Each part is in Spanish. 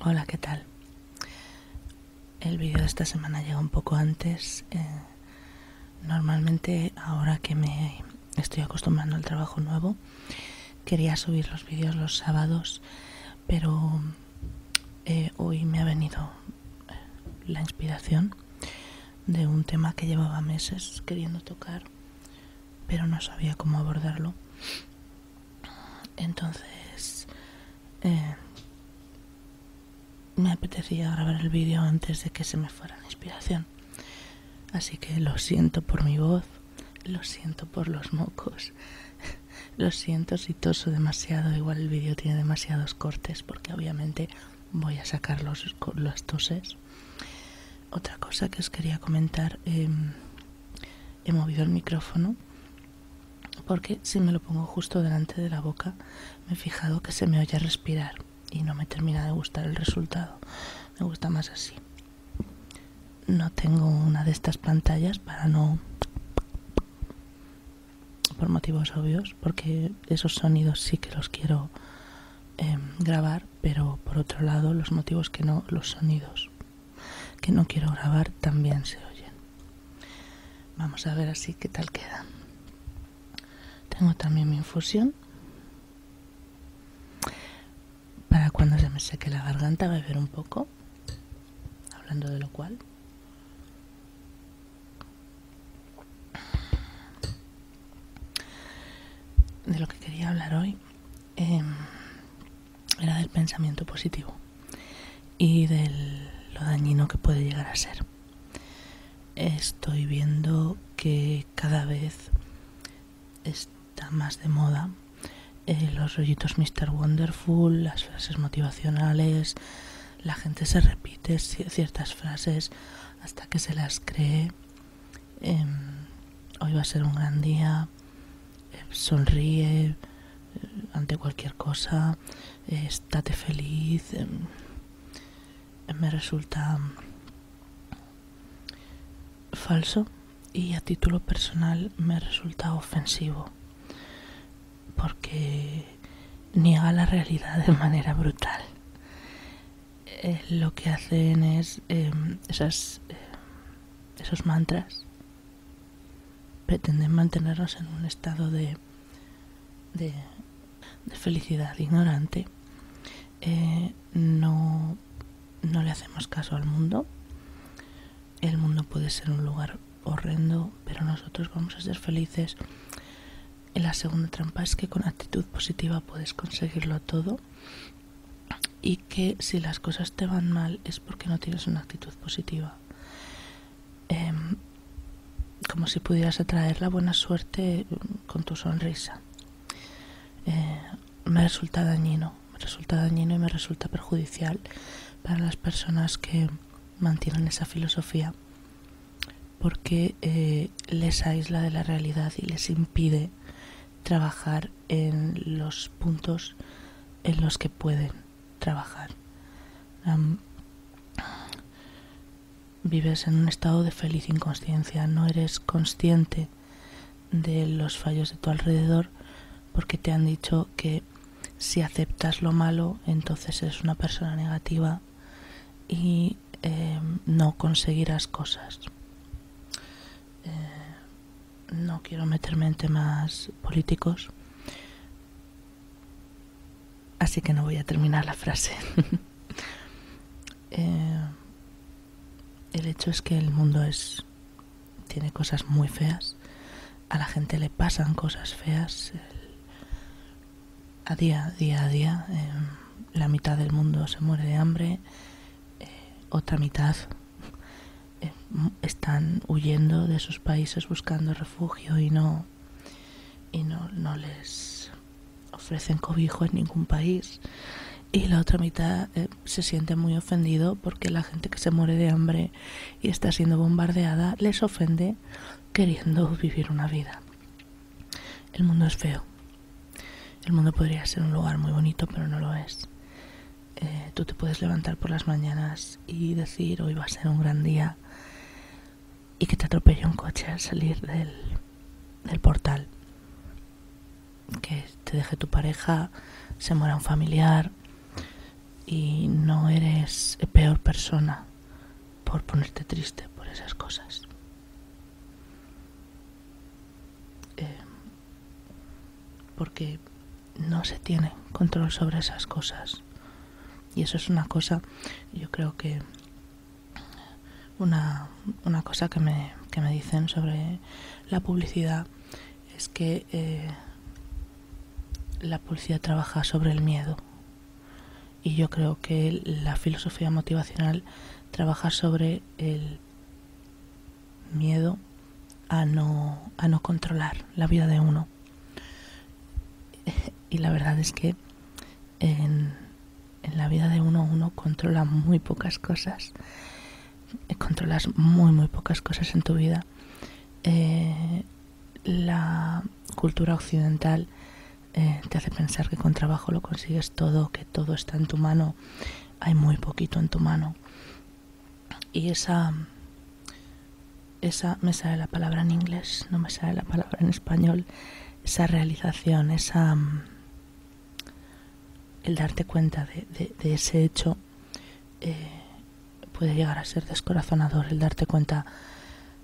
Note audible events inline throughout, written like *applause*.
Hola, ¿qué tal? El vídeo de esta semana llega un poco antes. Eh, normalmente ahora que me estoy acostumbrando al trabajo nuevo, quería subir los vídeos los sábados, pero eh, hoy me ha venido la inspiración de un tema que llevaba meses queriendo tocar, pero no sabía cómo abordarlo. Entonces eh, me apetecía grabar el vídeo antes de que se me fuera la inspiración. Así que lo siento por mi voz, lo siento por los mocos, *laughs* lo siento si toso demasiado, igual el vídeo tiene demasiados cortes, porque obviamente voy a sacar los, las toses. Otra cosa que os quería comentar, em, he movido el micrófono porque si me lo pongo justo delante de la boca me he fijado que se me oye respirar y no me termina de gustar el resultado. Me gusta más así. No tengo una de estas pantallas para no por motivos obvios, porque esos sonidos sí que los quiero em, grabar, pero por otro lado los motivos que no, los sonidos que no quiero grabar también se oyen. Vamos a ver así qué tal queda. Tengo también mi infusión. Para cuando se me seque la garganta beber un poco, hablando de lo cual de lo que quería hablar hoy em, era del pensamiento positivo y de lo dañino que puede llegar a ser. Estoy viendo que cada vez está más de moda eh, los rollitos Mr. Wonderful, las frases motivacionales, la gente se repite ciertas frases hasta que se las cree. Em, hoy va a ser un gran día. Em, sonríe eh, ante cualquier cosa. Eh, estate feliz. Em, me resulta falso y a título personal me resulta ofensivo porque niega la realidad de manera brutal. Eh, lo que hacen es eh, esas, eh, esos mantras pretenden mantenernos en un estado de, de, felicidad ignorante. no, no le hacemos caso al mundo. El mundo puede ser un lugar horrendo, pero nosotros vamos a ser felices. la segunda trampa es que con actitud positiva puedes conseguirlo todo y que si las cosas te van mal es porque no tienes una actitud positiva. Em, como si pudieras atraer la buena suerte con tu sonrisa. Eh, me resulta dañino, me resulta dañino y me resulta perjudicial para las personas que mantienen esa filosofía porque eh, les aísla de la realidad y les impide trabajar en los puntos en los que pueden trabajar. vives en un estado de feliz inconsciencia, no eres consciente de los fallos de tu alrededor porque te han dicho que si aceptas lo malo, entonces eres una persona negativa y eh, no conseguirás cosas. Eh, no quiero meterme en temas políticos, así que no voy a terminar la frase. *laughs* Eh, el hecho es que el mundo es tiene cosas muy feas a la gente le pasan cosas feas a día, día a día. Em, la mitad del mundo se muere de hambre, eh, otra mitad em, están huyendo de sus países buscando refugio y no y no, les ofrecen cobijo en ningún país y la otra mitad eh, se siente muy ofendido porque la gente que se muere de hambre y está siendo bombardeada les ofende queriendo vivir una vida. El mundo es feo. El mundo podría ser un lugar muy bonito, pero no lo es. Eh, tú te puedes levantar por las mañanas y decir hoy va a ser un gran día y que te atropelle un coche al salir del, del portal. Que te deje tu pareja, se muera un familiar y no eres peor persona por ponerte triste por esas cosas. Eh, porque no se tiene control sobre esas cosas. Y eso es una cosa, yo creo que una, cosa que me, dicen sobre la publicidad es que eh, la publicidad trabaja sobre el miedo y yo creo que la filosofía motivacional trabaja sobre el miedo a no, controlar la vida de uno. *laughs* Y la verdad es que en, la vida de uno uno controla muy pocas cosas. Controlas muy, muy pocas cosas en tu vida. Eh, la cultura occidental eh, te hace pensar que con trabajo lo consigues todo, que todo está en tu mano, hay muy poquito en tu mano. Y esa, esa, me sale la palabra en inglés, no me sale la palabra en español, esa realización, esa, mm, el darte cuenta de, ese hecho, eh, puede llegar a ser descorazonador el darte cuenta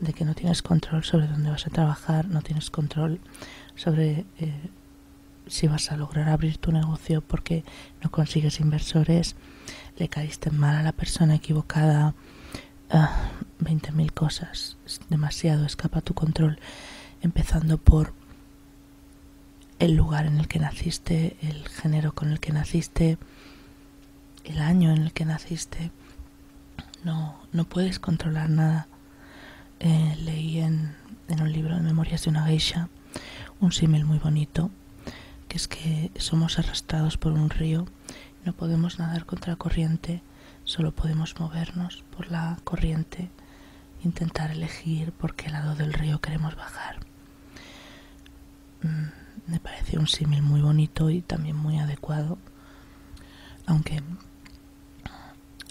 de que no tienes control sobre dónde vas a trabajar, no tienes control sobre eh, si vas a lograr abrir tu negocio porque no consigues inversores, le caíste mal a la persona equivocada, ah, veinte 20.000 cosas, demasiado escapa tu control, empezando por el lugar en el que naciste, el género con el que naciste, el año en el que naciste. No, puedes controlar nada. Eh, leí en, un libro de Memorias de una geisha un símil muy bonito, que es que somos arrastrados por un río, no podemos nadar contra la corriente, solo podemos movernos por la corriente, intentar elegir por qué lado del río queremos bajar. Mm, me parece un símil muy bonito y también muy adecuado, aunque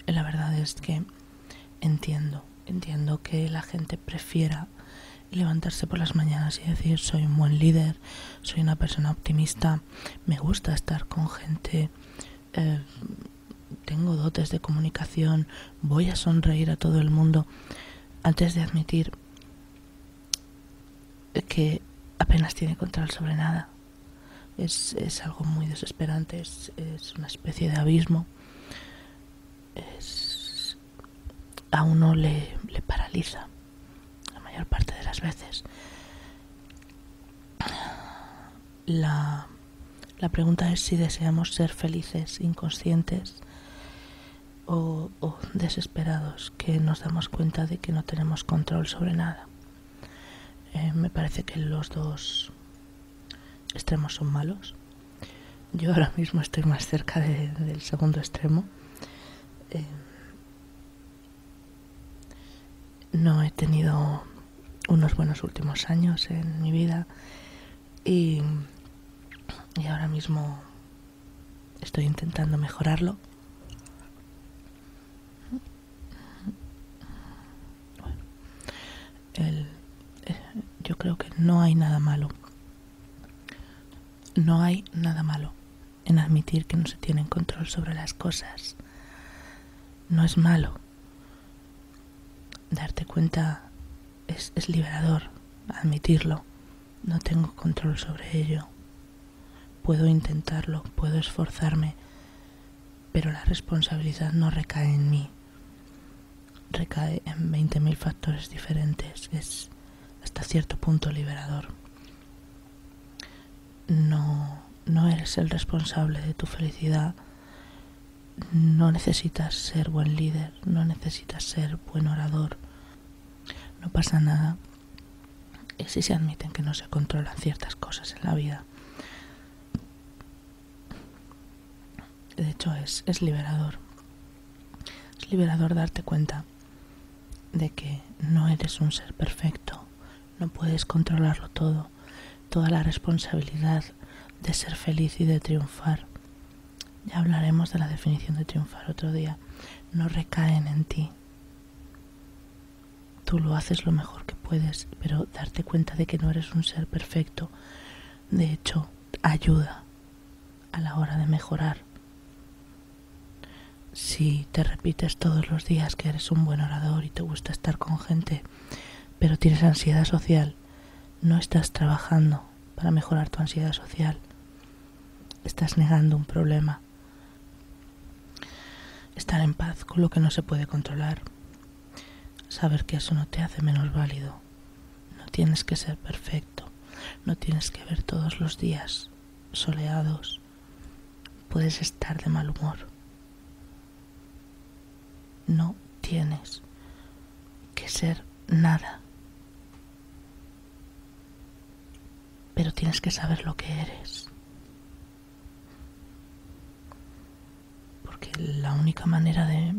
la verdad es que entiendo, entiendo que la gente prefiera levantarse por las mañanas y decir soy un buen líder, soy una persona optimista, me gusta estar con gente, eh, tengo dotes de comunicación, voy a sonreír a todo el mundo, antes de admitir que apenas tiene control sobre nada. Es, algo muy desesperante, es, una especie de abismo. Es, a uno le, le paraliza la mayor parte de las veces. La, la pregunta es si deseamos ser felices, inconscientes o, desesperados que nos damos cuenta de que no tenemos control sobre nada. Eh, me parece que los dos extremos son malos. Yo ahora mismo estoy más cerca del segundo extremo. Eh, no he tenido unos buenos últimos años en mi vida y ahora mismo Estoy intentando mejorarlo. Eh, yo creo que no hay nada malo. No hay nada malo en admitir que no se tienen control sobre las cosas. No es malo. Darte cuenta es liberador, admitirlo. No tengo control sobre ello. Puedo intentarlo, puedo esforzarme, pero la responsabilidad no recae en mí. Recae en 20.000 factores diferentes. Es hasta cierto punto liberador. No, no eres el responsable de tu felicidad. No necesitas ser buen líder, no necesitas ser buen orador, no pasa nada y si se admiten que no se controlan ciertas cosas en la vida. De hecho, es, es liberador. Es liberador darte cuenta de que no eres un ser perfecto, no puedes controlarlo todo, toda la responsabilidad de ser feliz y de triunfar ya hablaremos de la definición de triunfar otro día. No recaen en ti. Tú lo haces lo mejor que puedes, pero darte cuenta de que no eres un ser perfecto, de hecho, ayuda a la hora de mejorar. Si te repites todos los días que eres un buen orador y te gusta estar con gente, pero tienes ansiedad social, no estás trabajando para mejorar tu ansiedad social. Estás negando un problema. Estar en paz con lo que no se puede controlar. Saber que eso no te hace menos válido. No tienes que ser perfecto. No tienes que ver todos los días soleados. Puedes estar de mal humor. No tienes que ser nada pero tienes que saber lo que eres. Porque la única manera de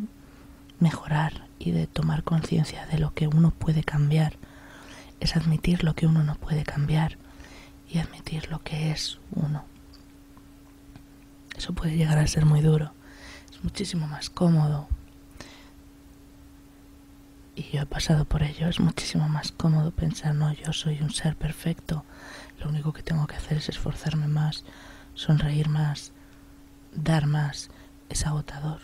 mejorar y de tomar conciencia de lo que uno puede cambiar es admitir lo que uno no puede cambiar y admitir lo que es uno. Eso puede llegar a ser muy duro. Es muchísimo más cómodo y yo he pasado por ello. Es muchísimo más cómodo pensar, no, yo soy un ser perfecto. Lo único que tengo que hacer es esforzarme más, sonreír más, dar más. Es agotador.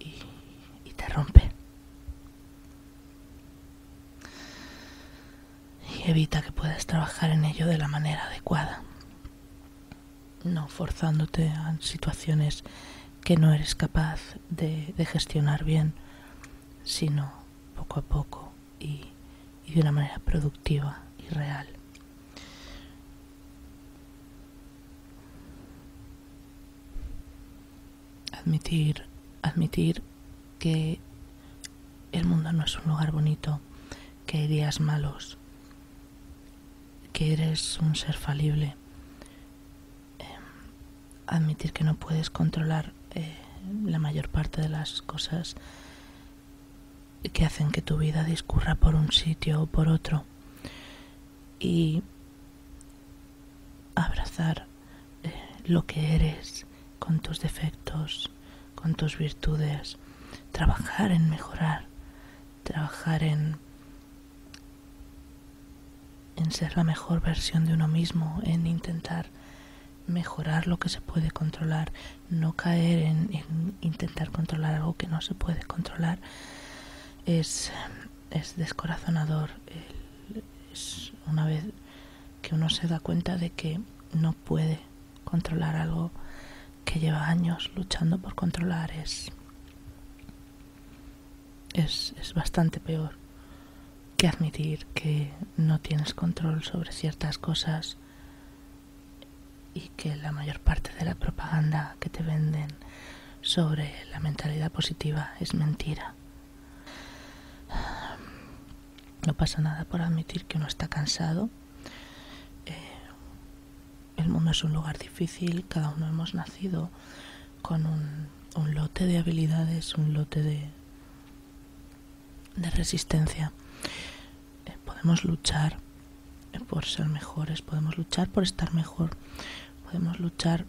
Y, te rompe. Y evita que puedas trabajar en ello de la manera adecuada no forzándote a situaciones que no eres capaz de, gestionar bien, sino poco a poco y, de una manera productiva y real. Admitir, admitir que el mundo no es un lugar bonito, que hay días malos, que eres un ser falible, em, admitir que no puedes controlar eh, la mayor parte de las cosas que hacen que tu vida discurra por un sitio o por otro y abrazar eh, lo que eres con tus defectos, con tus virtudes, trabajar en mejorar, trabajar en en ser la mejor versión de uno mismo, en intentar mejorar lo que se puede controlar, no caer en, intentar controlar algo que no se puede controlar, es, es descorazonador. Es una vez que uno se da cuenta de que no puede controlar algo, que lleva años luchando por controlar es, es, bastante peor que admitir que no tienes control sobre ciertas cosas y que la mayor parte de la propaganda que te venden sobre la mentalidad positiva es mentira. No pasa nada por admitir que uno está cansado, eh, el mundo es un lugar difícil, cada uno hemos nacido con un, lote de habilidades, un lote de, resistencia. Eh, podemos luchar por ser mejores, podemos luchar por estar mejor, podemos luchar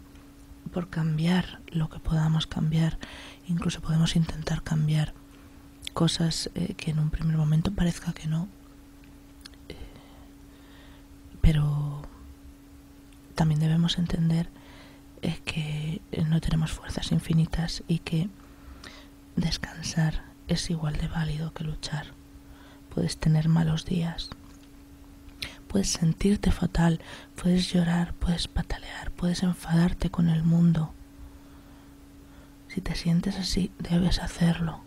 por cambiar lo que podamos cambiar, incluso podemos intentar cambiar cosas eh, que en un primer momento parezca que no, eh, pero también debemos entender que no tenemos fuerzas infinitas y que descansar es igual de válido que luchar. Puedes tener malos días, puedes sentirte fatal, puedes llorar, puedes patalear, puedes enfadarte con el mundo. Si te sientes así, debes hacerlo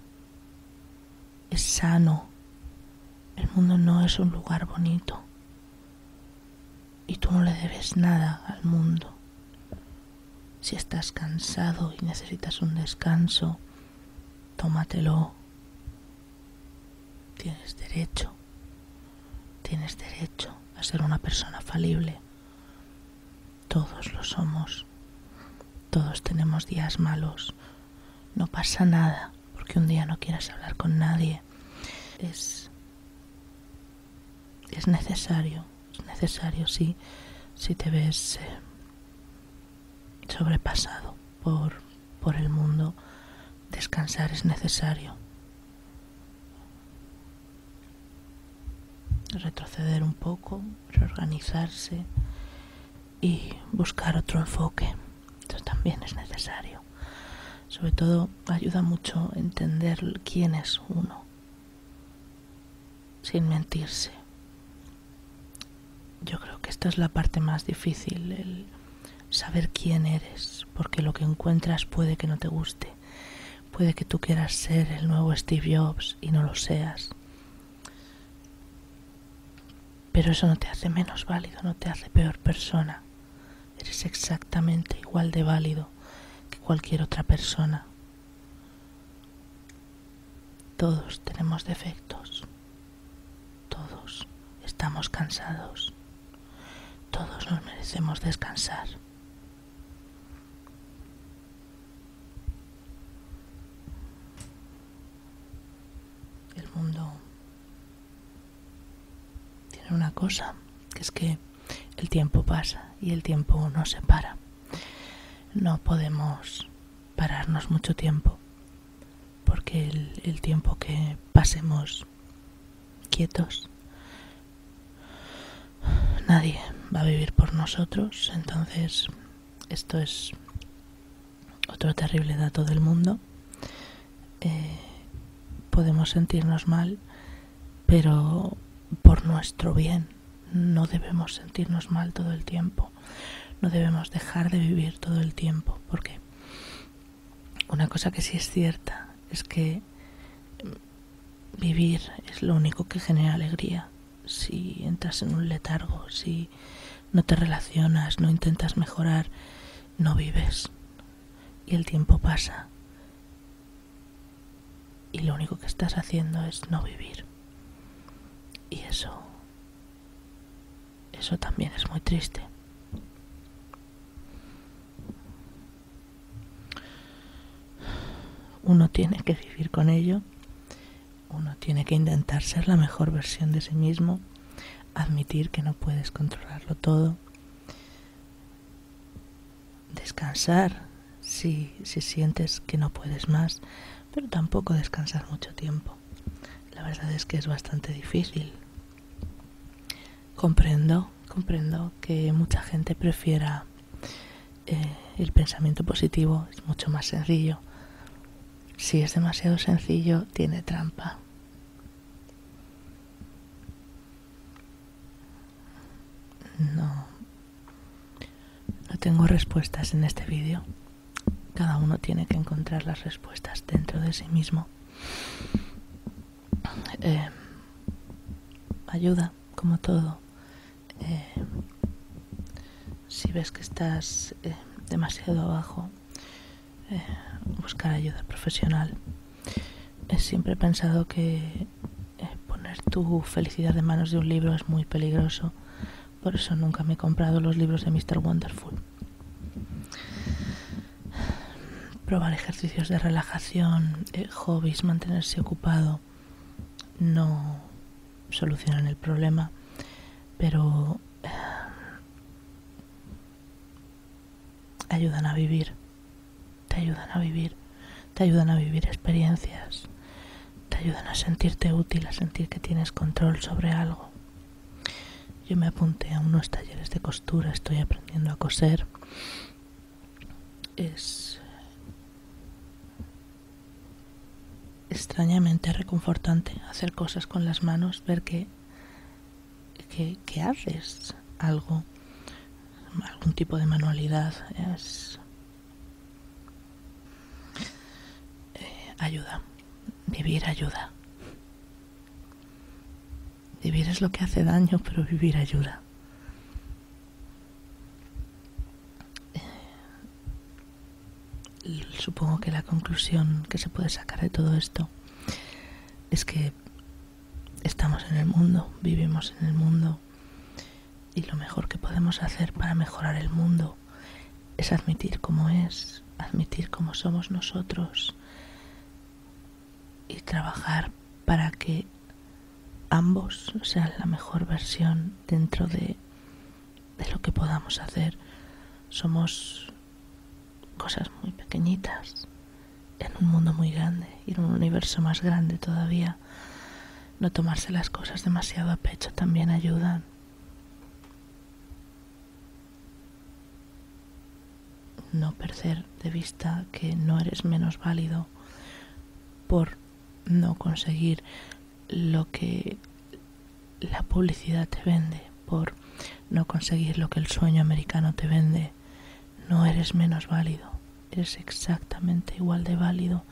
es sano. El mundo no es un lugar bonito. Y tú no le debes nada al mundo. Si estás cansado y necesitas un descanso, tómatelo. Tienes derecho. Tienes derecho a ser una persona falible. Todos lo somos. Todos tenemos días malos. No pasa nada porque un día no quieras hablar con nadie. Es es necesario, es necesario si te ves eh, sobrepasado por el mundo, descansar es necesario. retroceder un poco, reorganizarse, y buscar otro enfoque. Eso también es necesario. Sobre todo ayuda mucho entender quién es uno, sin mentirse. Yo creo que esta es la parte más difícil, el saber quién eres, porque lo que encuentras puede que no te guste, puede que tú quieras ser el nuevo Steve Jobs y no lo seas, pero eso no te hace menos válido, no te hace peor persona. Eres exactamente igual de válido que cualquier otra persona. Todos tenemos defectos. Todos estamos cansados. Todos nos merecemos descansar. El mundo tiene una cosa, que es que el tiempo pasa y el tiempo no se para. No podemos pararnos mucho tiempo, porque el, tiempo que pasemos quietos, nadie va a vivir por nosotros, entonces esto es otro terrible dato del mundo. Eh, podemos sentirnos mal, pero por nuestro bien. No debemos sentirnos mal todo el tiempo. No debemos dejar de vivir todo el tiempo. Porque una cosa que sí es cierta es que vivir es lo único que genera alegría si entras en un letargo, si no te relacionas, no intentas mejorar, no vives. Y el tiempo pasa. Y lo único que estás haciendo es no vivir. Y eso, eso también es muy triste. Uno tiene que vivir con ello uno tiene que intentar ser la mejor versión de sí mismo, admitir que no puedes controlarlo todo, descansar si, sientes que no puedes más, pero tampoco descansar mucho tiempo. La verdad es que es bastante difícil. Comprendo, comprendo que mucha gente prefiera eh, el pensamiento positivo es mucho más sencillo. Si es demasiado sencillo, tiene trampa. No, tengo respuestas en este vídeo. Cada uno tiene que encontrar las respuestas dentro de sí mismo. Eh, ayuda, como todo. Eh, si ves que estás eh, demasiado abajo, eh, buscar ayuda profesional. He siempre pensado que poner tu felicidad en manos de un libro es muy peligroso. Por eso nunca me he comprado los libros de Mr. Wonderful. Probar ejercicios de relajación, hobbies, mantenerse ocupado, no solucionan el problema, pero eh, ayudan a vivir, te ayudan a vivir, te ayudan a vivir experiencias, te ayudan a sentirte útil, a sentir que tienes control sobre algo. Yo me apunté a unos talleres de costura, estoy aprendiendo a coser. Es extrañamente reconfortante hacer cosas con las manos, ver que, haces algo, algún tipo de manualidad, es, eh, ayuda, vivir ayuda. Vivir es lo que hace daño, pero vivir ayuda. Supongo que la conclusión que se puede sacar de todo esto es que estamos en el mundo, vivimos en el mundo y lo mejor que podemos hacer para mejorar el mundo es admitir cómo es, admitir cómo somos nosotros y trabajar para que ambos sean la mejor versión dentro de de lo que podamos hacer. Somos cosas muy pequeñitas en un mundo muy grande y en un universo más grande todavía. No tomarse las cosas demasiado a pecho también ayuda No perder de vista que no eres menos válido por no conseguir lo que la publicidad te vende, por no conseguir lo que el sueño americano te vende, no eres menos válido, eres exactamente igual de válido,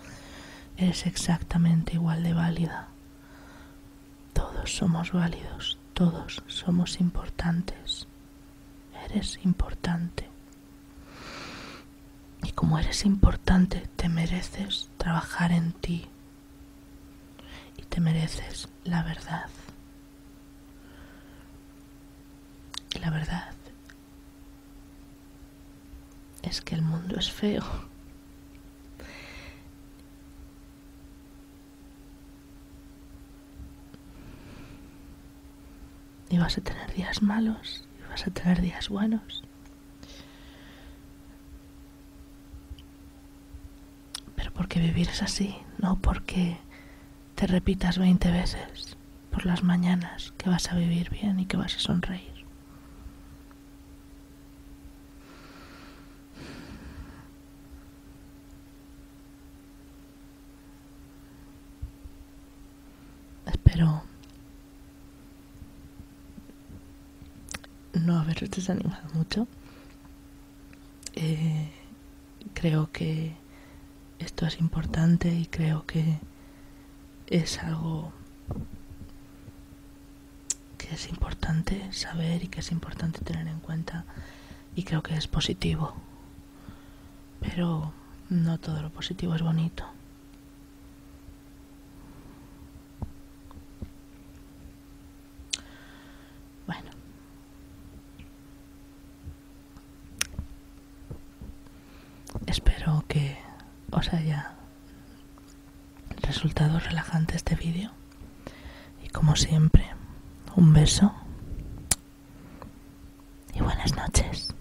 eres exactamente igual de válida. Todos somos válidos, todos somos importantes, eres importante. Y como eres importante, te mereces trabajar en ti. Y te mereces la verdad. Y la verdad es que el mundo es feo. Y vas a tener días malos y vas a tener días buenos. Pero porque vivir es así, no porque te repitas 20 veces por las mañanas que vas a vivir bien y que vas a sonreír. Espero no haberos desanimado mucho. Eh, creo que esto es importante y creo que es algo que es importante saber y que es importante tener en cuenta y creo que es positivo. Pero no todo lo positivo es bonito. Bueno. Espero que os haya resultado relajante este vídeo. Y como siempre, un beso y buenas noches.